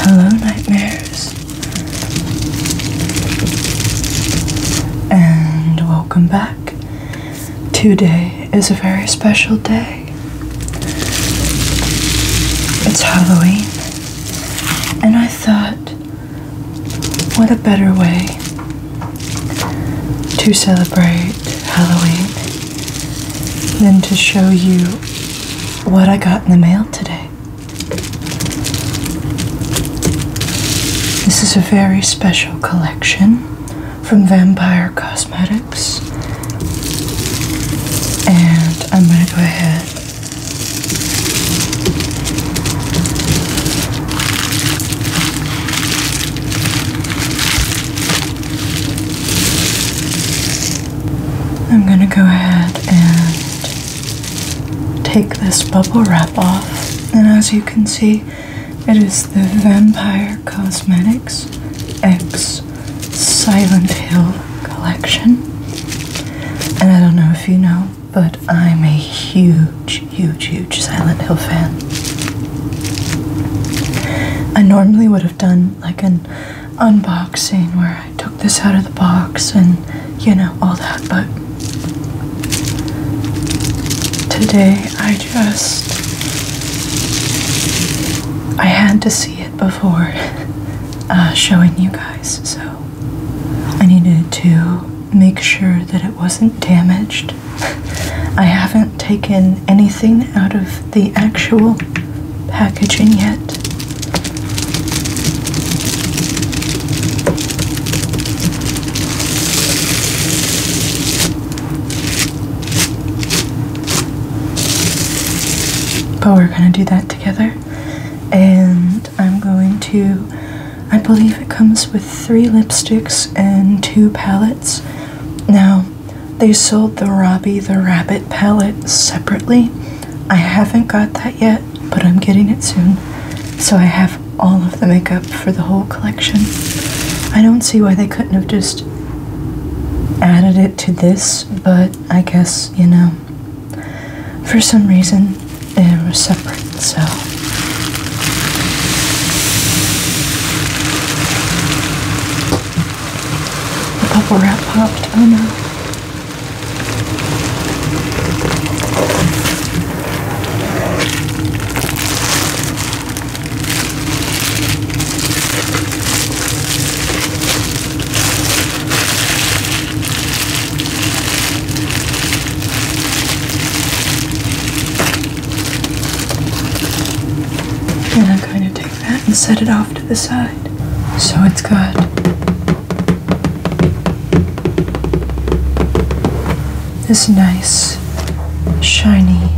Hello, nightmares, and welcome back. Today is a very special day. It's Halloween, and I thought, what a better way to celebrate Halloween than to show you what I got in the mail today. This is a very special collection from Vampire Cosmetics. And I'm going to go ahead I'm going to go ahead and take this bubble wrap off. And as you can see, it is the Vampire Cosmetics X Silent Hill collection. And I don't know if you know, but I'm a huge, huge, huge Silent Hill fan. I normally would have done like an unboxing where I took this out of the box and you know all that, but today I just I had to see it before uh, showing you guys, so I needed to make sure that it wasn't damaged. I haven't taken anything out of the actual packaging yet. But we're going to do that together. And I'm going to, I believe it comes with three lipsticks and two palettes. Now, they sold the Robbie the Rabbit palette separately. I haven't got that yet, but I'm getting it soon. So I have all of the makeup for the whole collection. I don't see why they couldn't have just added it to this, but I guess, you know, for some reason it was separate, so. The bubble wrap popped. Oh no. And I'm going to and set it off to the side. So it's good. This nice, shiny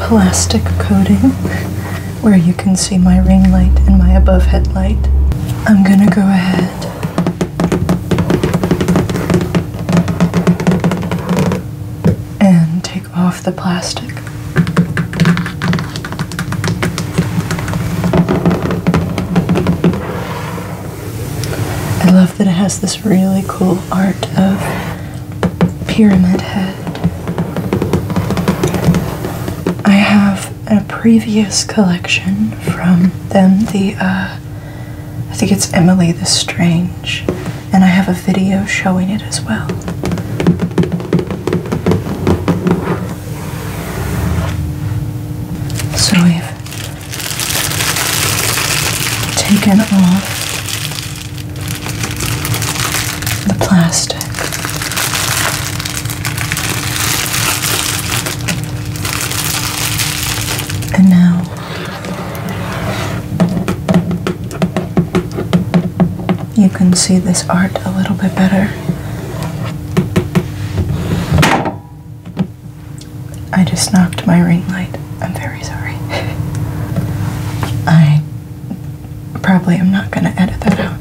plastic coating where you can see my ring light and my above headlight. I'm gonna go ahead and off the plastic. I love that it has this really cool art of pyramid head. I have a previous collection from them, the uh, I think it's Emily the Strange and I have a video showing it as well. So we've taken off the plastic. And now you can see this art a little bit better. I just knocked my ring light. I'm very sorry. I probably am not going to edit that out.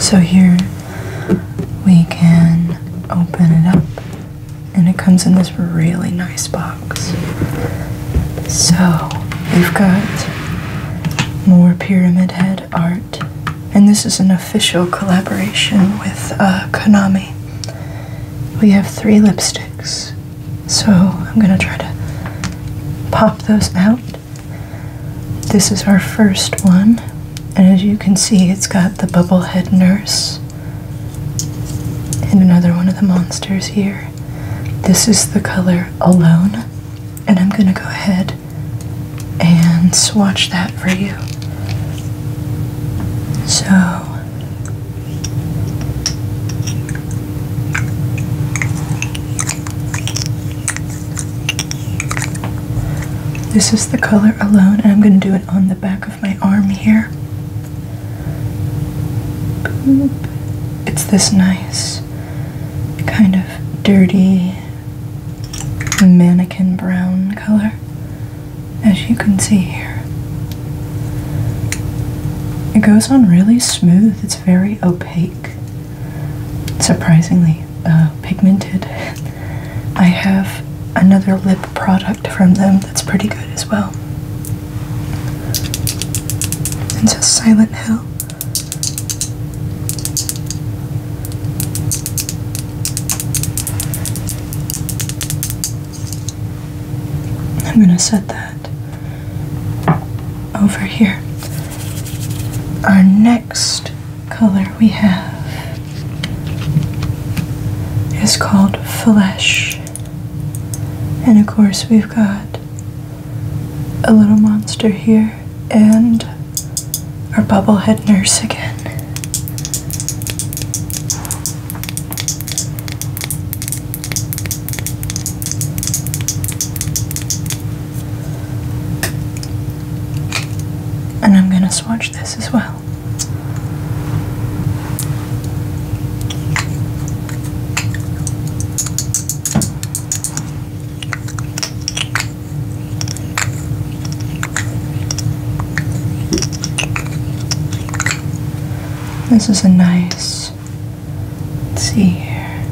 so here we can open it up and it comes in this really nice box. So we've got more Pyramid Head art, and this is an official collaboration with uh, Konami. We have three lipsticks, so I'm gonna try to pop those out. This is our first one, and as you can see, it's got the bubble head Nurse and another one of the monsters here. This is the color Alone, and I'm going to go ahead and swatch that for you. So, this is the color Alone, and I'm going to do it on the back my arm here. It's this nice, kind of dirty, mannequin brown color, as you can see here. It goes on really smooth, it's very opaque, surprisingly uh, pigmented. I have another lip product from them that's pretty good as well. And so Silent Hill. I'm going to set that over here. Our next color we have is called flesh. And of course, we've got a little monster here and our bubblehead nurse again. And I'm going to swatch this as well. This is a nice, let see here,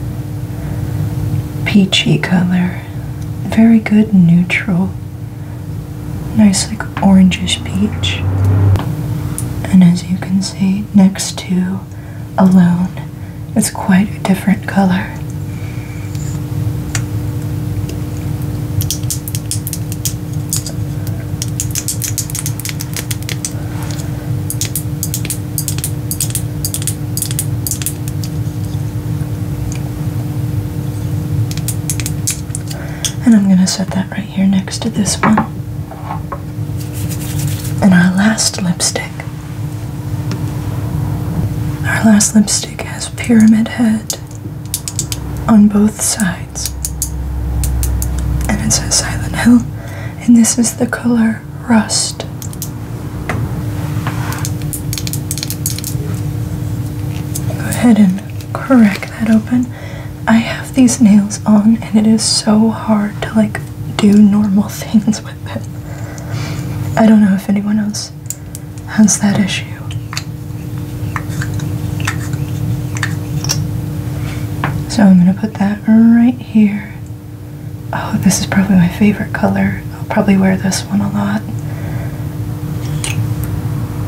peachy color. Very good neutral nice like orangish peach. And as you can see, next to alone, it's quite a different color. And I'm going to set that right here next to this one. And our last lipstick. Our last lipstick has Pyramid Head on both sides. And it says Silent Hill. And this is the color Rust. Go ahead and crack that open. I have these nails on and it is so hard to like do normal things with it. I don't know if anyone else has that issue. So I'm going to put that right here. Oh, this is probably my favorite color. I'll probably wear this one a lot.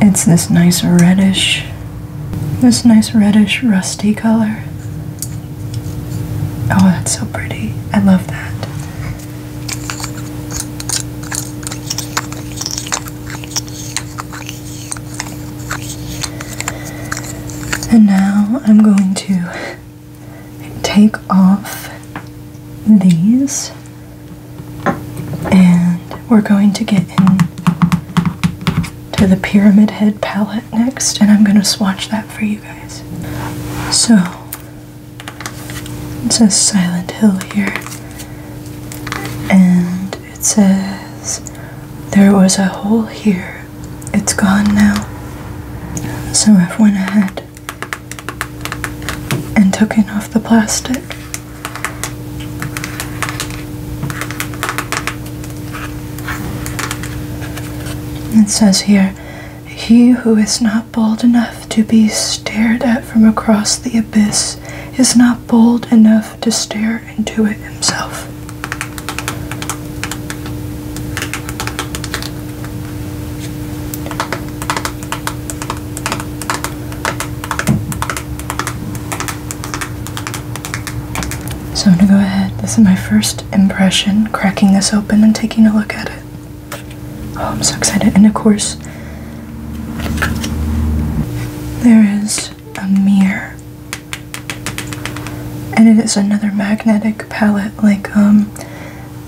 It's this nice reddish, this nice reddish rusty color. Oh, that's so pretty. I love that. And now I'm going to take off these and we're going to get into the Pyramid Head palette next, and I'm going to swatch that for you guys. So, it says Silent Hill here, and it says there was a hole here. It's gone now. So I've went ahead and taking off the plastic. It says here, he who is not bold enough to be stared at from across the abyss is not bold enough to stare into it himself. So I'm gonna go ahead. This is my first impression, cracking this open and taking a look at it. Oh, I'm so excited. And of course, there is a mirror. And it is another magnetic palette like um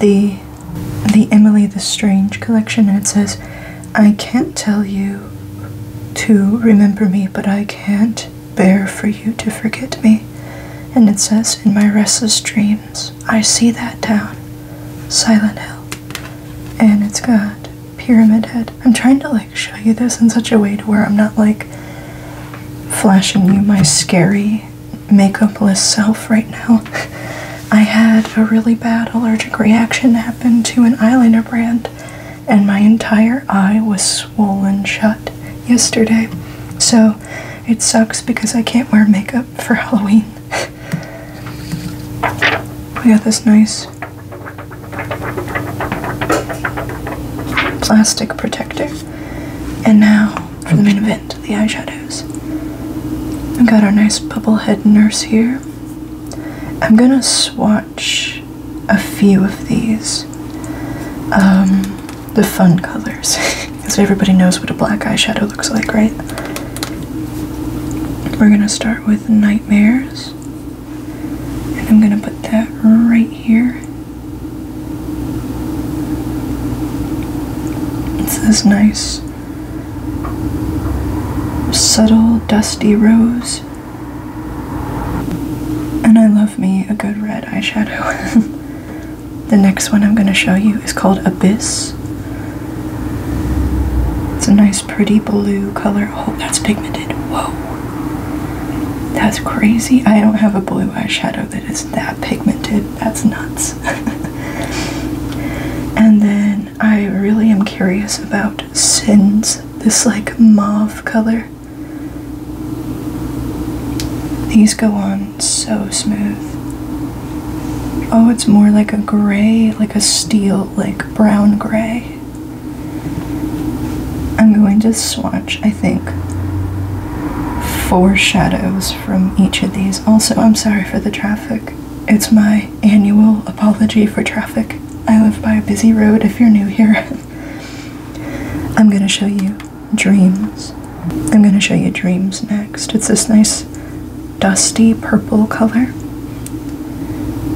the the Emily the Strange collection, and it says, I can't tell you to remember me, but I can't bear for you to forget me. And it says, In my restless dreams, I see that town, Silent Hill. And it's got Pyramid Head. I'm trying to like show you this in such a way to where I'm not like flashing you my scary makeupless self right now. I had a really bad allergic reaction happen to an eyeliner brand, and my entire eye was swollen shut yesterday. So it sucks because I can't wear makeup for Halloween. we got this nice plastic protector. And now for the main event the eyeshadows. I've got our nice bubblehead nurse here. I'm gonna swatch a few of these. Um, the fun colors. Because everybody knows what a black eyeshadow looks like, right? We're gonna start with Nightmares. And I'm gonna put that right here. This is nice subtle dusty rose. And I love me a good red eyeshadow. the next one I'm going to show you is called Abyss. It's a nice pretty blue color. Oh, that's pigmented. Whoa. That's crazy. I don't have a blue eyeshadow that is that pigmented that's nuts. and then I really am curious about sins. This like mauve color. These go on so smooth. Oh, it's more like a gray, like a steel, like brown gray. I'm going to swatch, I think, four shadows from each of these. Also, I'm sorry for the traffic. It's my annual apology for traffic. I live by a busy road if you're new here. I'm gonna show you dreams. I'm gonna show you dreams next. It's this nice dusty purple color.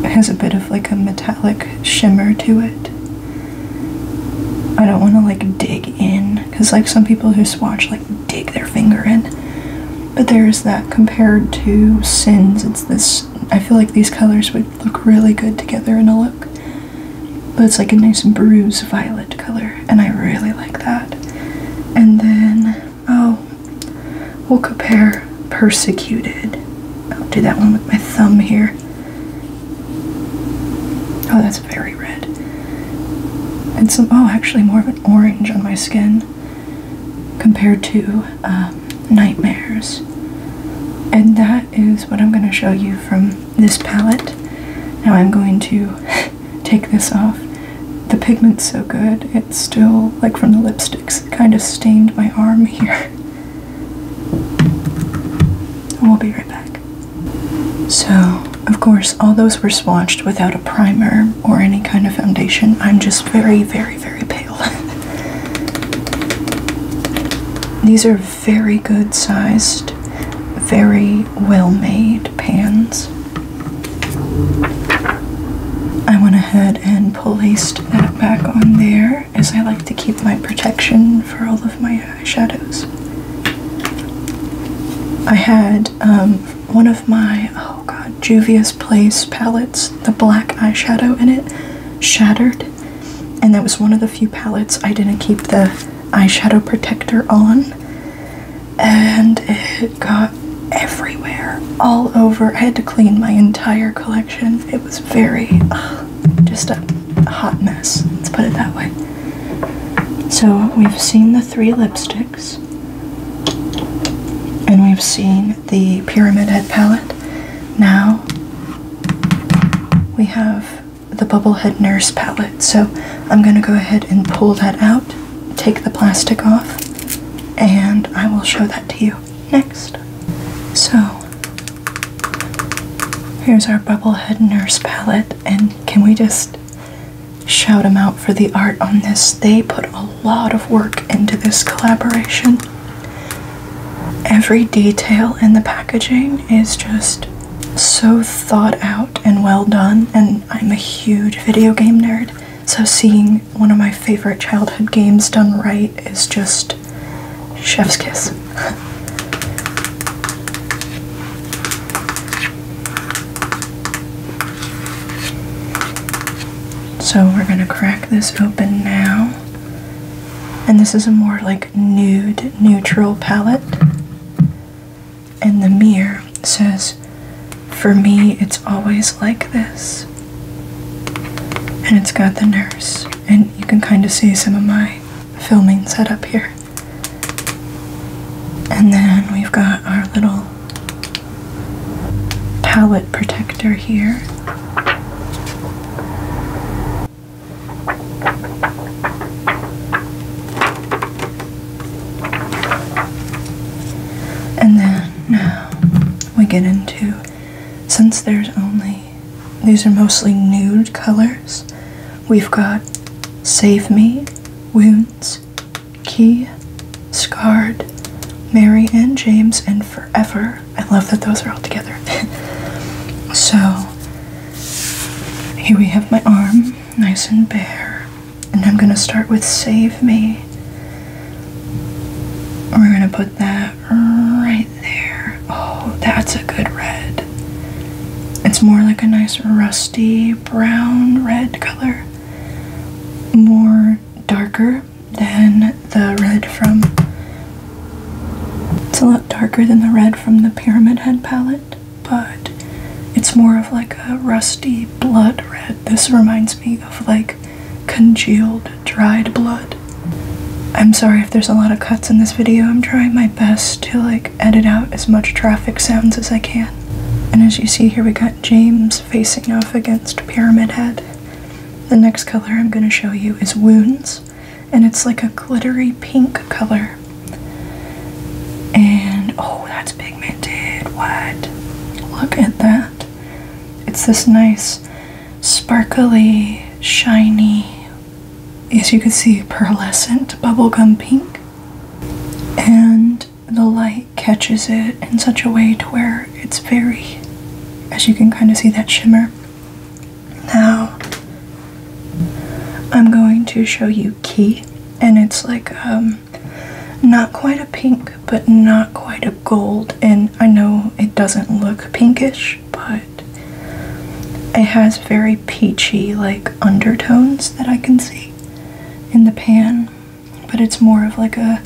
It has a bit of like a metallic shimmer to it. I don't want to like dig in because like some people who swatch like dig their finger in. But there's that compared to Sins. It's this. I feel like these colors would look really good together in a look. But it's like a nice bruise violet color, and I really like that. And then, oh, we'll compare Persecuted. I'll do that one with my thumb here. Oh, that's very red and some oh actually more of an orange on my skin compared to um, nightmares and that is what i'm going to show you from this palette now i'm going to take this off the pigment's so good it's still like from the lipsticks kind of stained my arm here and we'll be right back so of course, all those were swatched without a primer or any kind of foundation. I'm just very, very, very pale. These are very good sized, very well made pans. I went ahead and placed that back on there as I like to keep my protection for all of my eyeshadows. I had um, one of my oh god Juvia's Place palettes, the black eyeshadow in it shattered, and that was one of the few palettes I didn't keep the eyeshadow protector on, and it got everywhere, all over. I had to clean my entire collection. It was very just a hot mess. Let's put it that way. So we've seen the three lipsticks. And we've seen the Pyramid Head palette. Now we have the bubble head Nurse palette. So I'm going to go ahead and pull that out, take the plastic off, and I will show that to you next. So here's our bubble head Nurse palette, and can we just Shout them out for the art on this. They put a lot of work into this collaboration. Every detail in the packaging is just so thought out and well done, and I'm a huge video game nerd, so seeing one of my favorite childhood games done right is just chef's kiss. So we're gonna crack this open now. And this is a more like nude, neutral palette. And the mirror says, For me, it's always like this. And it's got the nurse. And you can kind of see some of my filming setup here. And then we've got our little palette protector here. And then now we get into, since there's only, these are mostly nude colors, we've got Save Me, Wounds, Key, Scarred, Mary and James, and Forever. I love that those are all together. so here we have my arm, nice and bare. And I'm gonna start with Save Me. We're gonna put that right there. Oh, that's a good red. It's more like a nice rusty brown red color more darker than the red from it's a lot darker than the red from the pyramid head palette but it's more of like a rusty blood red this reminds me of like congealed dried blood i'm sorry if there's a lot of cuts in this video i'm trying my best to like edit out as much traffic sounds as I can. And as you see here, we got James facing off against Pyramid Head. The next color I'm going to show you is Wounds, and it's like a glittery pink color. And oh, that's Did What? Look at that. It's this nice, sparkly, shiny, as you can see, pearlescent bubblegum pink. And the light catches it in such a way to where it's very, as you can kind of see that shimmer. Now, I'm going to show you Key, and it's like, um, not quite a pink, but not quite a gold, and I know it doesn't look pinkish, but it has very peachy, like, undertones that I can see in the pan, but it's more of like a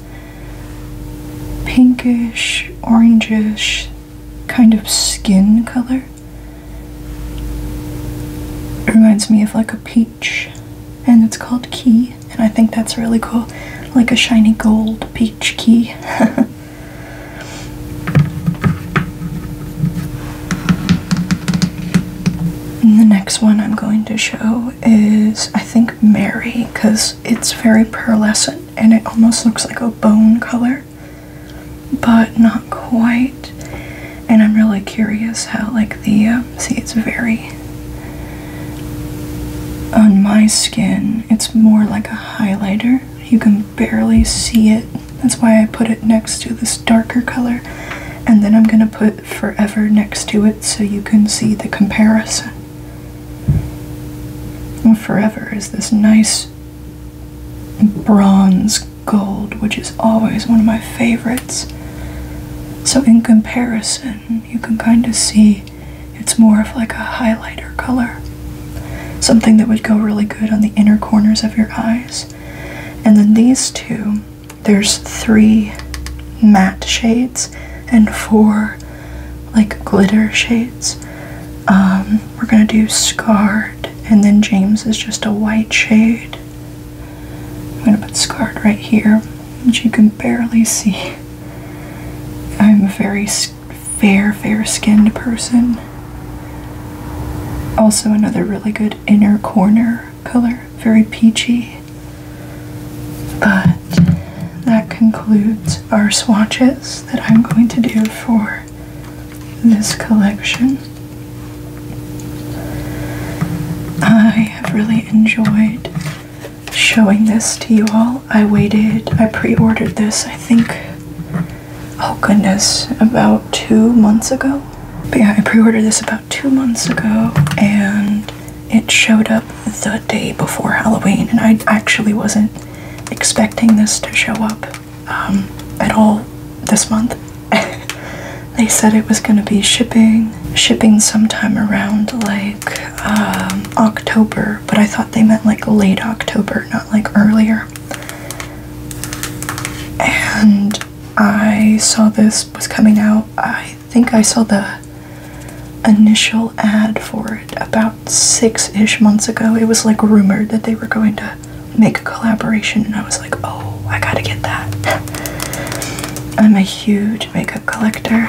pinkish, orangish kind of skin color. It reminds me of like a peach, and it's called Key, and I think that's really cool. Like a shiny gold peach key. the next one I'm going to show is, I think, Mary, because it's very pearlescent and it almost looks like a bone color, but not quite. And I'm really curious how, like, the um, see, it's very on my skin, it's more like a highlighter. You can barely see it. That's why I put it next to this darker color. And then I'm going to put forever next to it so you can see the comparison. forever is this nice bronze gold, which is always one of my favorites. So, in comparison, you can kind of see it's more of like a highlighter color. Something that would go really good on the inner corners of your eyes. And then these two there's three matte shades and four like glitter shades. Um, we're gonna do Scarred, and then James is just a white shade. I'm gonna put Scarred right here, which you can barely see. I'm a very fair, fair skinned person. Also, another really good inner corner color, very peachy. But that concludes our swatches that I'm going to do for this collection. I have really enjoyed showing this to you all. I waited, I pre-ordered this, I think, oh goodness, about two months ago. But yeah, I pre-ordered this about two months ago and it showed up the day before Halloween, and I actually wasn't expecting this to show up um, at all this month. they said it was going to be shipping, shipping sometime around like um, October, but I thought they meant like late October, not like earlier. And I saw this was coming out. I think I saw the initial ad for it about six ish months ago. It was like rumored that they were going to make a collaboration, and I was like, oh, I gotta get that. I'm a huge makeup collector,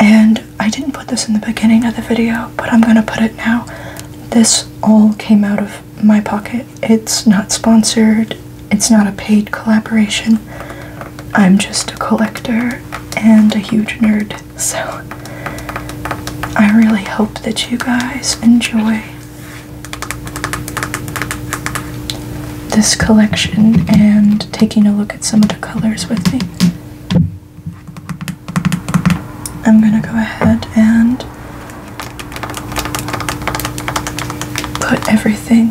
and I didn't put this in the beginning of the video, but I'm gonna put it now. This all came out of my pocket. It's not sponsored, it's not a paid collaboration. I'm just a collector and a huge nerd, so I really hope that you guys enjoy this collection and taking a look at some of the colors with me. I'm gonna go ahead and put everything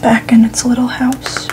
back in its little house.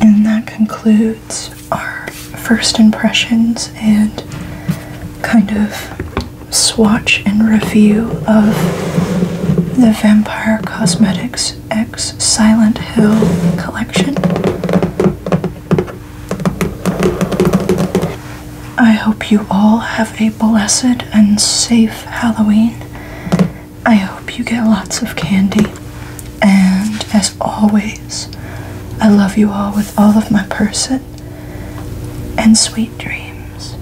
And that concludes our first impressions and kind of swatch and review of the Vampire Cosmetics X Silent Hill collection. I hope you all have a blessed and safe Halloween. I hope you get lots of candy. And as always, I love you all with all of my person and sweet dreams.